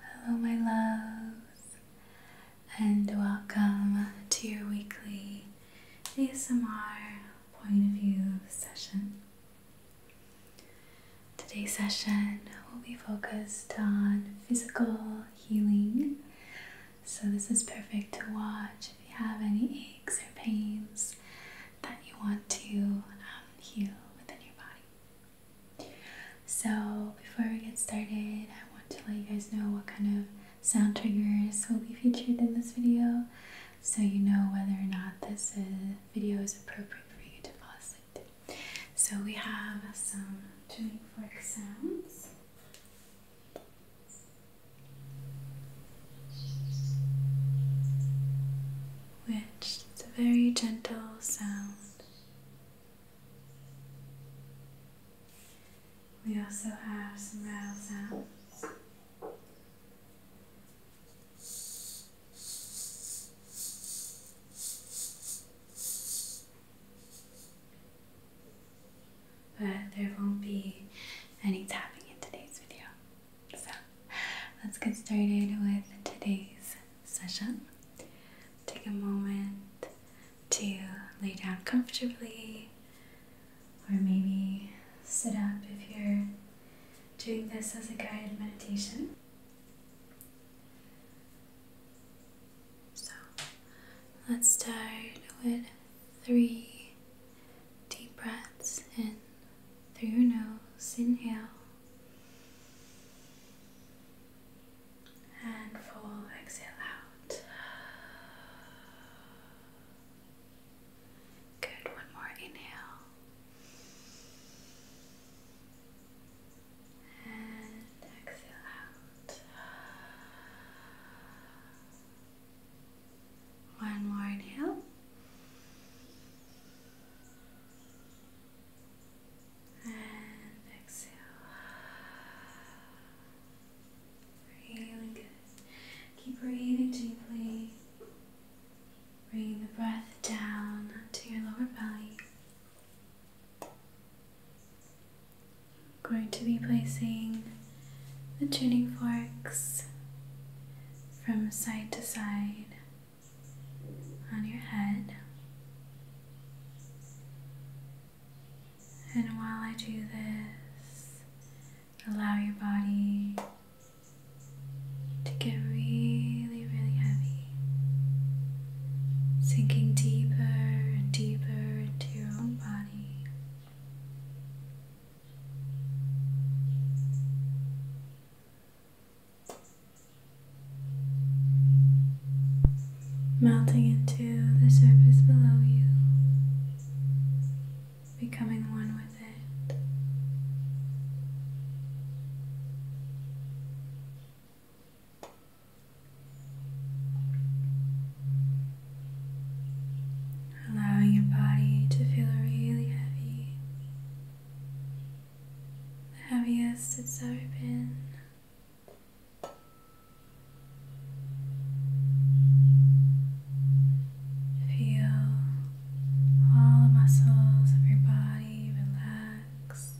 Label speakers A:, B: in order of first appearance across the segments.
A: Hello, my loves, and welcome to your weekly ASMR point of view session. Today's session will be focused on physical healing, so this is perfect to watch if you have any aches or pains that you want to um, heal within your body. So, before we get started, I want to let you guys know what kind of sound triggers will be featured in this video so you know whether or not this uh, video is appropriate for you to fall asleep to. So, we have some tuning fork sounds. Which is a very gentle sound we also have some rattlesounds, But there won't be any tapping in today's video. So let's get started with today's session. Take a moment to lay down comfortably or maybe sit up if you're doing this as a guided meditation. So let's start with three deep breaths in through your nose. Inhale and full exhale out. Good, one more inhale. And exhale out. One more inhale and exhale. Really good. Keep breathing deeply. Bring the breath down to your lower belly. I'm going to be placing the tuning forks from side to side on your head. And while I do this, allow your body to get really, really heavy, sinking deeper and deeper into your own body melting into the surface below you, becoming one with it. Allowing your body to feel really heavy, the heaviest it's ever been. Feel all the muscles of your body relax,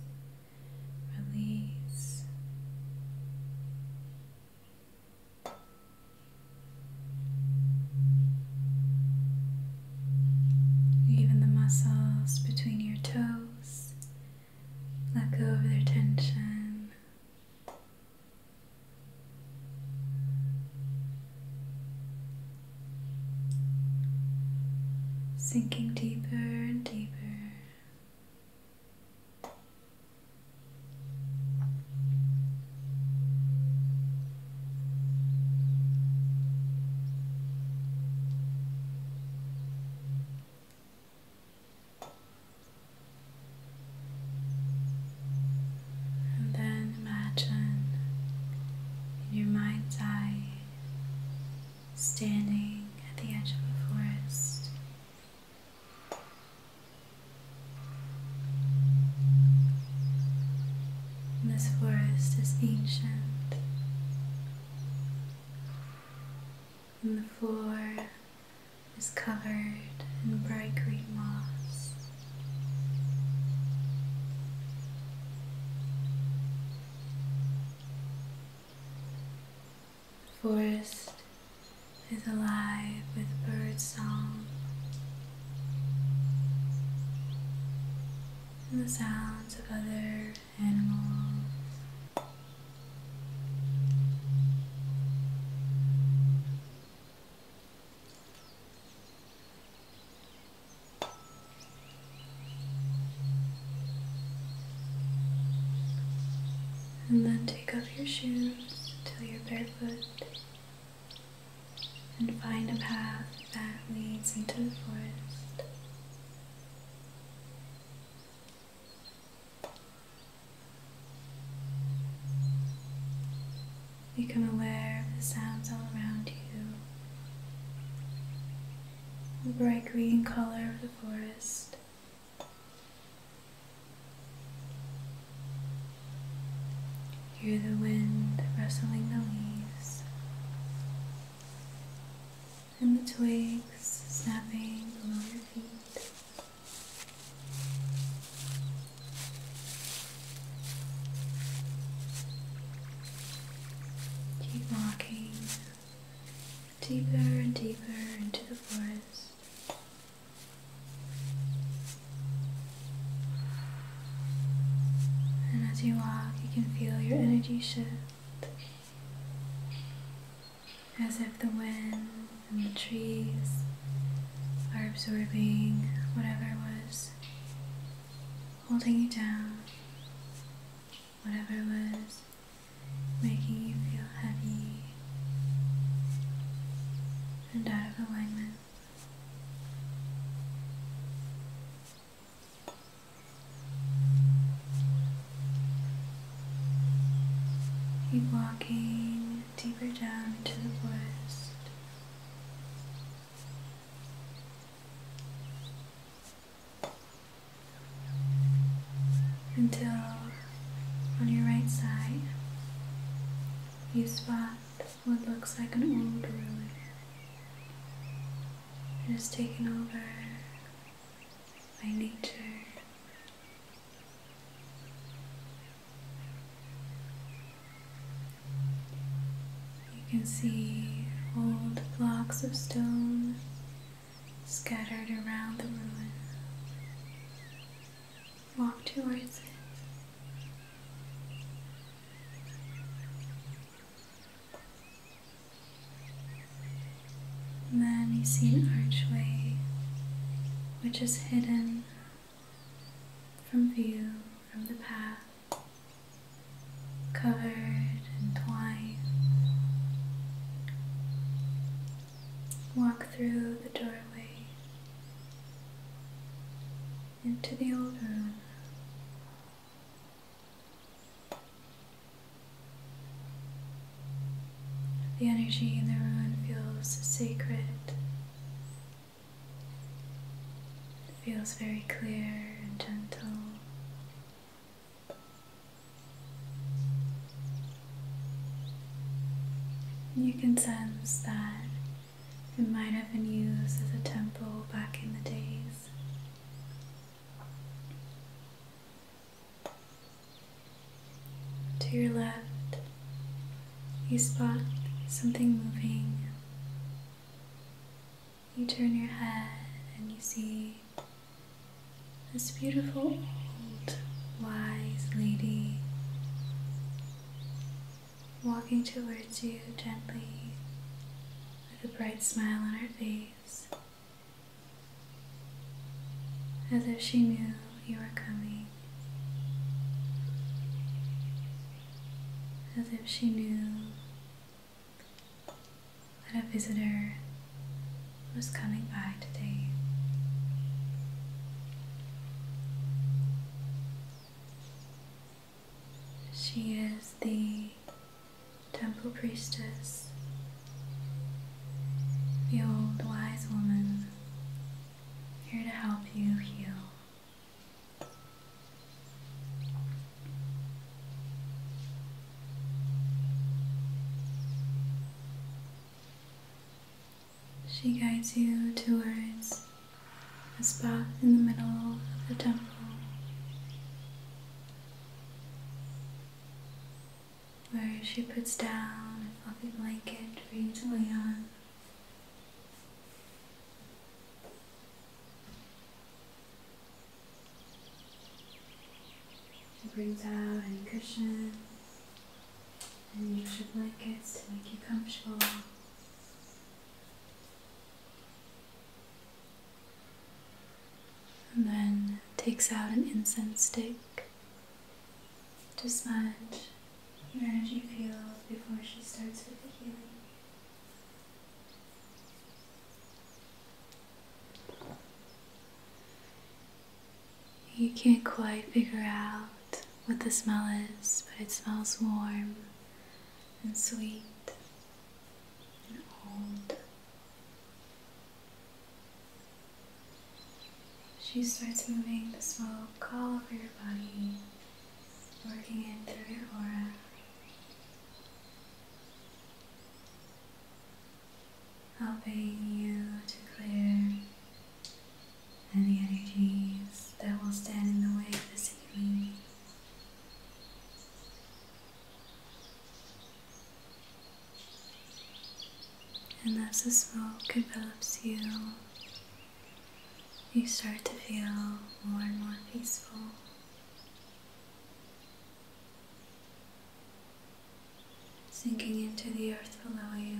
A: release. Even the muscles between your toes let go of their tension. Sinking deeper and deeper. And then imagine in your mind's eye standing at the edge of a forest. this forest is ancient and the floor is covered in bright green moss. The forest is alive with bird song and the sounds of other and then take off your shoes until you're barefoot and find a path that leads into the forest. Become aware of the sounds all around you, the bright green color of the forest. Hear the wind rustling the leaves and the twigs snapping below your feet. Keep walking deeper and deeper into the forest. And as you walk, you can feel your energy shift as if the wind and the trees are absorbing whatever was holding you down, whatever was making you feel heavy and out of alignment. Keep walking deeper down into the forest. Until on your right side you spot what looks like an old ruin. It has taken over I need to. You can see old blocks of stone scattered around the ruin. Walk towards it. And then you see an archway which is hidden from view from the path, covered in twine. Walk through the doorway into the old room. The energy in the room feels sacred. It feels very clear and gentle. You can sense that it might have been used as a temple back in the days. To your left, you spot something moving. You turn your head and you see this beautiful old wise lady walking towards you gently with a bright smile on her face as if she knew you were coming, as if she knew that a visitor was coming by today. She is the temple priestess, the old wise woman, here to help you heal. She guides you towards a spot in the middle of the temple where she puts down a fluffy blanket for you to lay on. She brings out any cushion and extra blankets to make you comfortable and then takes out an incense stick to smudge your energy field before she starts with the healing. You can't quite figure out what the smell is, but it smells warm and sweet and old. She starts moving the smoke all over your body, working in through your aura. Helping you to clear any energies that will stand in the way of this healing. And as the smoke envelops you, you start to feel more and more peaceful. Sinking into the earth below you,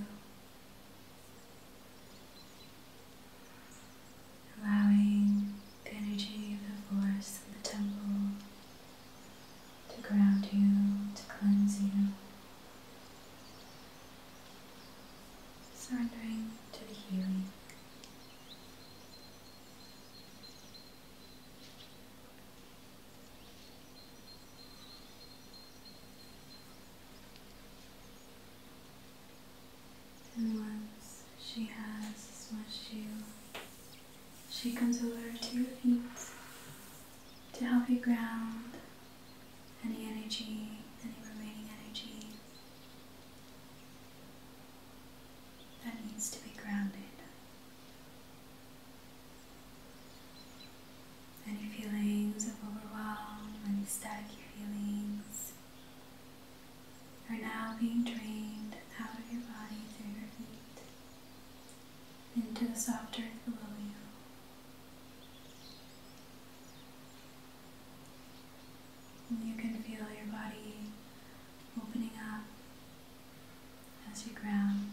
A: allowing the energy of the forest and the temple to ground you, to cleanse you. Surrendering to the healing. And once she has smushed you, she comes over to your feet to help you ground any energy, any remaining energy that needs to be grounded. Any feelings of overwhelm, any stacky feelings are now being drained out of your body through your feet into the softer earth below you. you can feel your body opening up as you ground,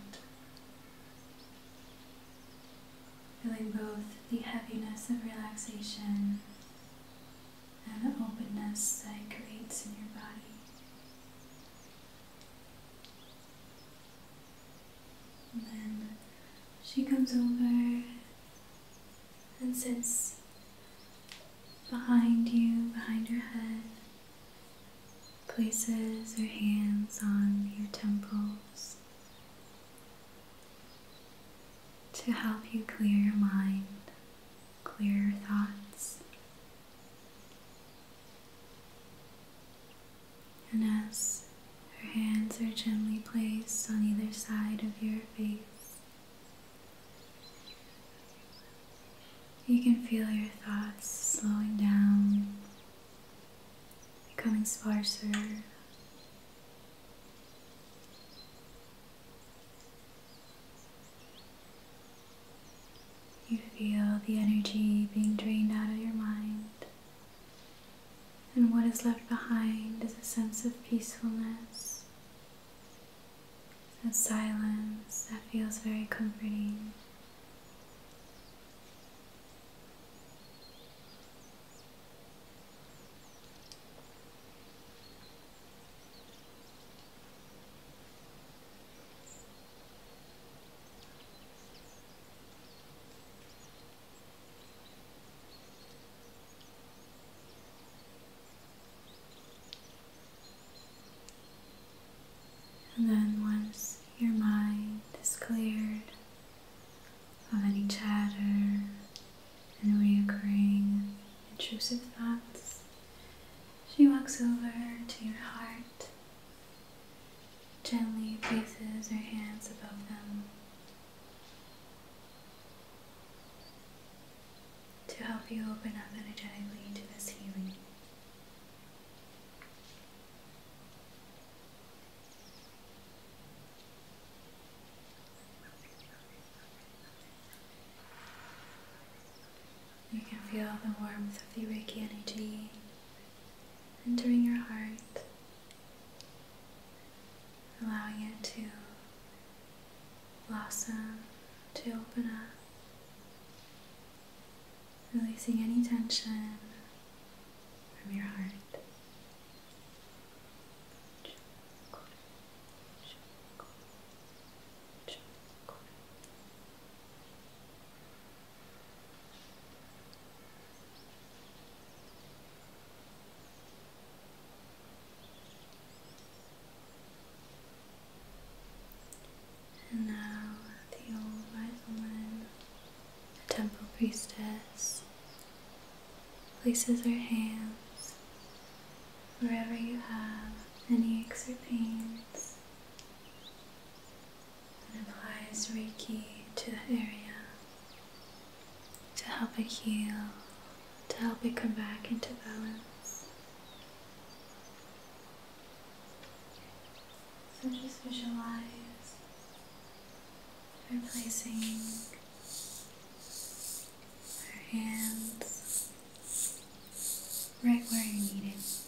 A: feeling both the heaviness of relaxation and the openness that it creates in your body then she comes over and sits behind you, behind your head, places her hands on your temples to help you clear your mind, clear your thoughts. And as her hands are gently placed on either side of your face, you can feel your thoughts slowing down, becoming sparser. You feel the energy being drained out of your mind. And what is left behind is a sense of peacefulness, a silence that feels very comforting. And then, once your mind is cleared of any chatter and reoccurring intrusive thoughts, she walks over to your heart gently places her hands above them to help you open up energetically to this healing. You can feel the warmth of the Reiki energy entering your heart, allowing it to blossom, to open up, releasing any tension from your heart. And now the old wise woman, the temple priestess, places her hands wherever you have any aches or pains. And applies Reiki to the area to help it heal, to help it come back into balance. So just visualize placing our hands right where you need it.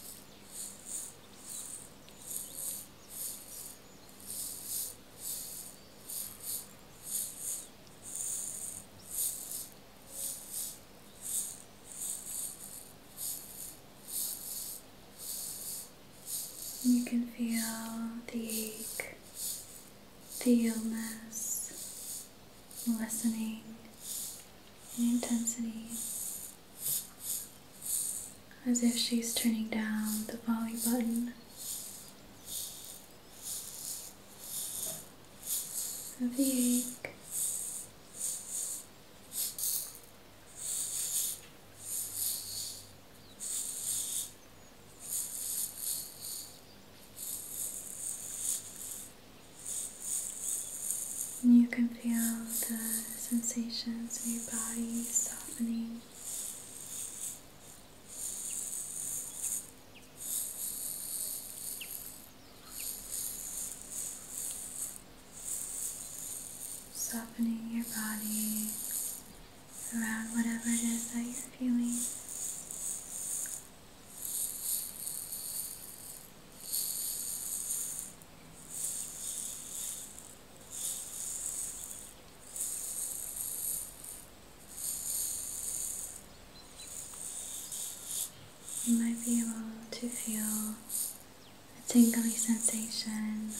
A: You can feel the ache, the illness lessening in intensity as if she's turning down the volume button. the you can feel the sensations in your body Softening your body around whatever it is that you're feeling. You might be able to feel a tingling sensation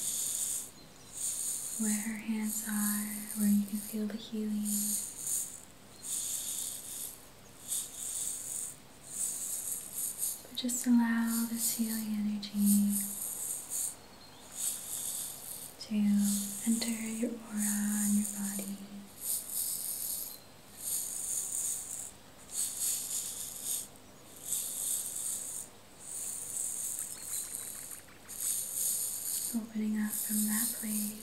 A: where her hands are, where you can feel the healing. But just allow this healing energy to enter your aura and your body. Opening up from that place.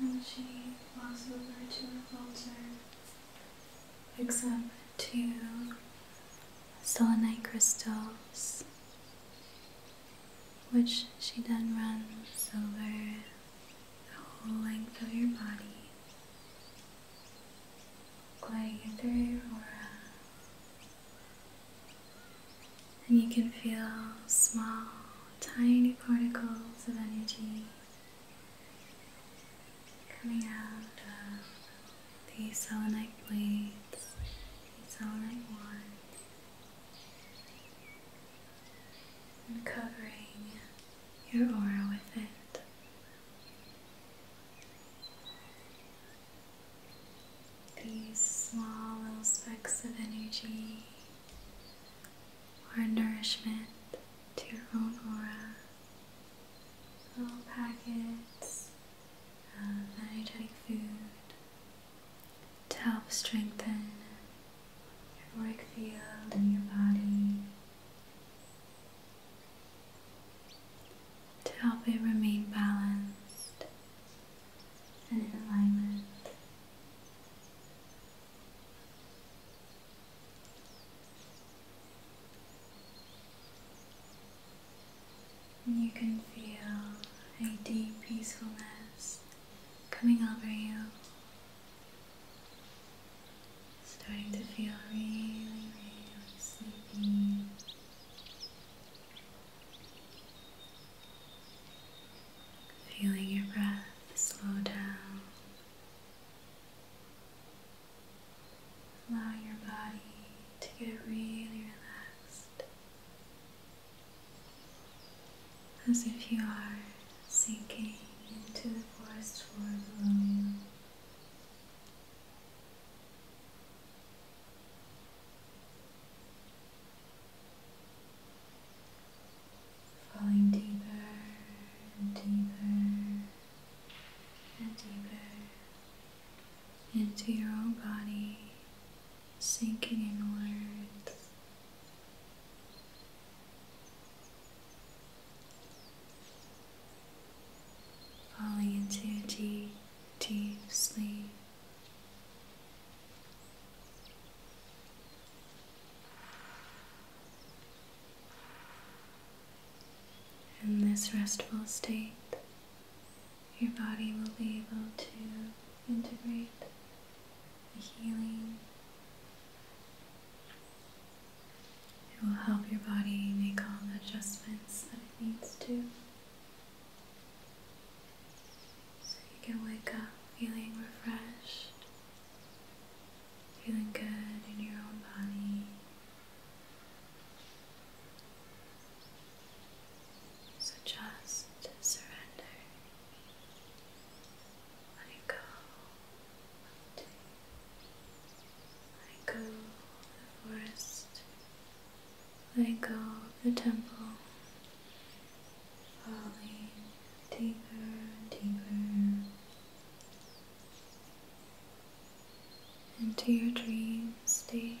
A: And she walks over to her altar, picks up two selenite crystals, which she then runs over the whole length of your body, gliding through your aura and you can feel small, tiny particles of energy coming out of these selenite blades, these selenite wands, and covering your aura with it. These small little specks of energy are nourishment to your own aura. Little packets of energetic food to help strengthen your work field and your body, to help it remain balanced and in alignment. And you can feel a deep peacefulness coming over you, starting to feel really, really sleepy. Feeling your breath slow down. Allow your body to get really relaxed as if you are sinking into the forest floor below you. Falling deeper and deeper and deeper into your own body, sinking inwards. Falling into a deep, deep sleep. In this restful state, your body will be able to integrate the healing. It will help your body make all the adjustments that it needs to so you can wake up feeling refreshed, feeling good in your own body. So just surrender, let it go, let it go, the let go of the temple, falling deeper and deeper into your dream state.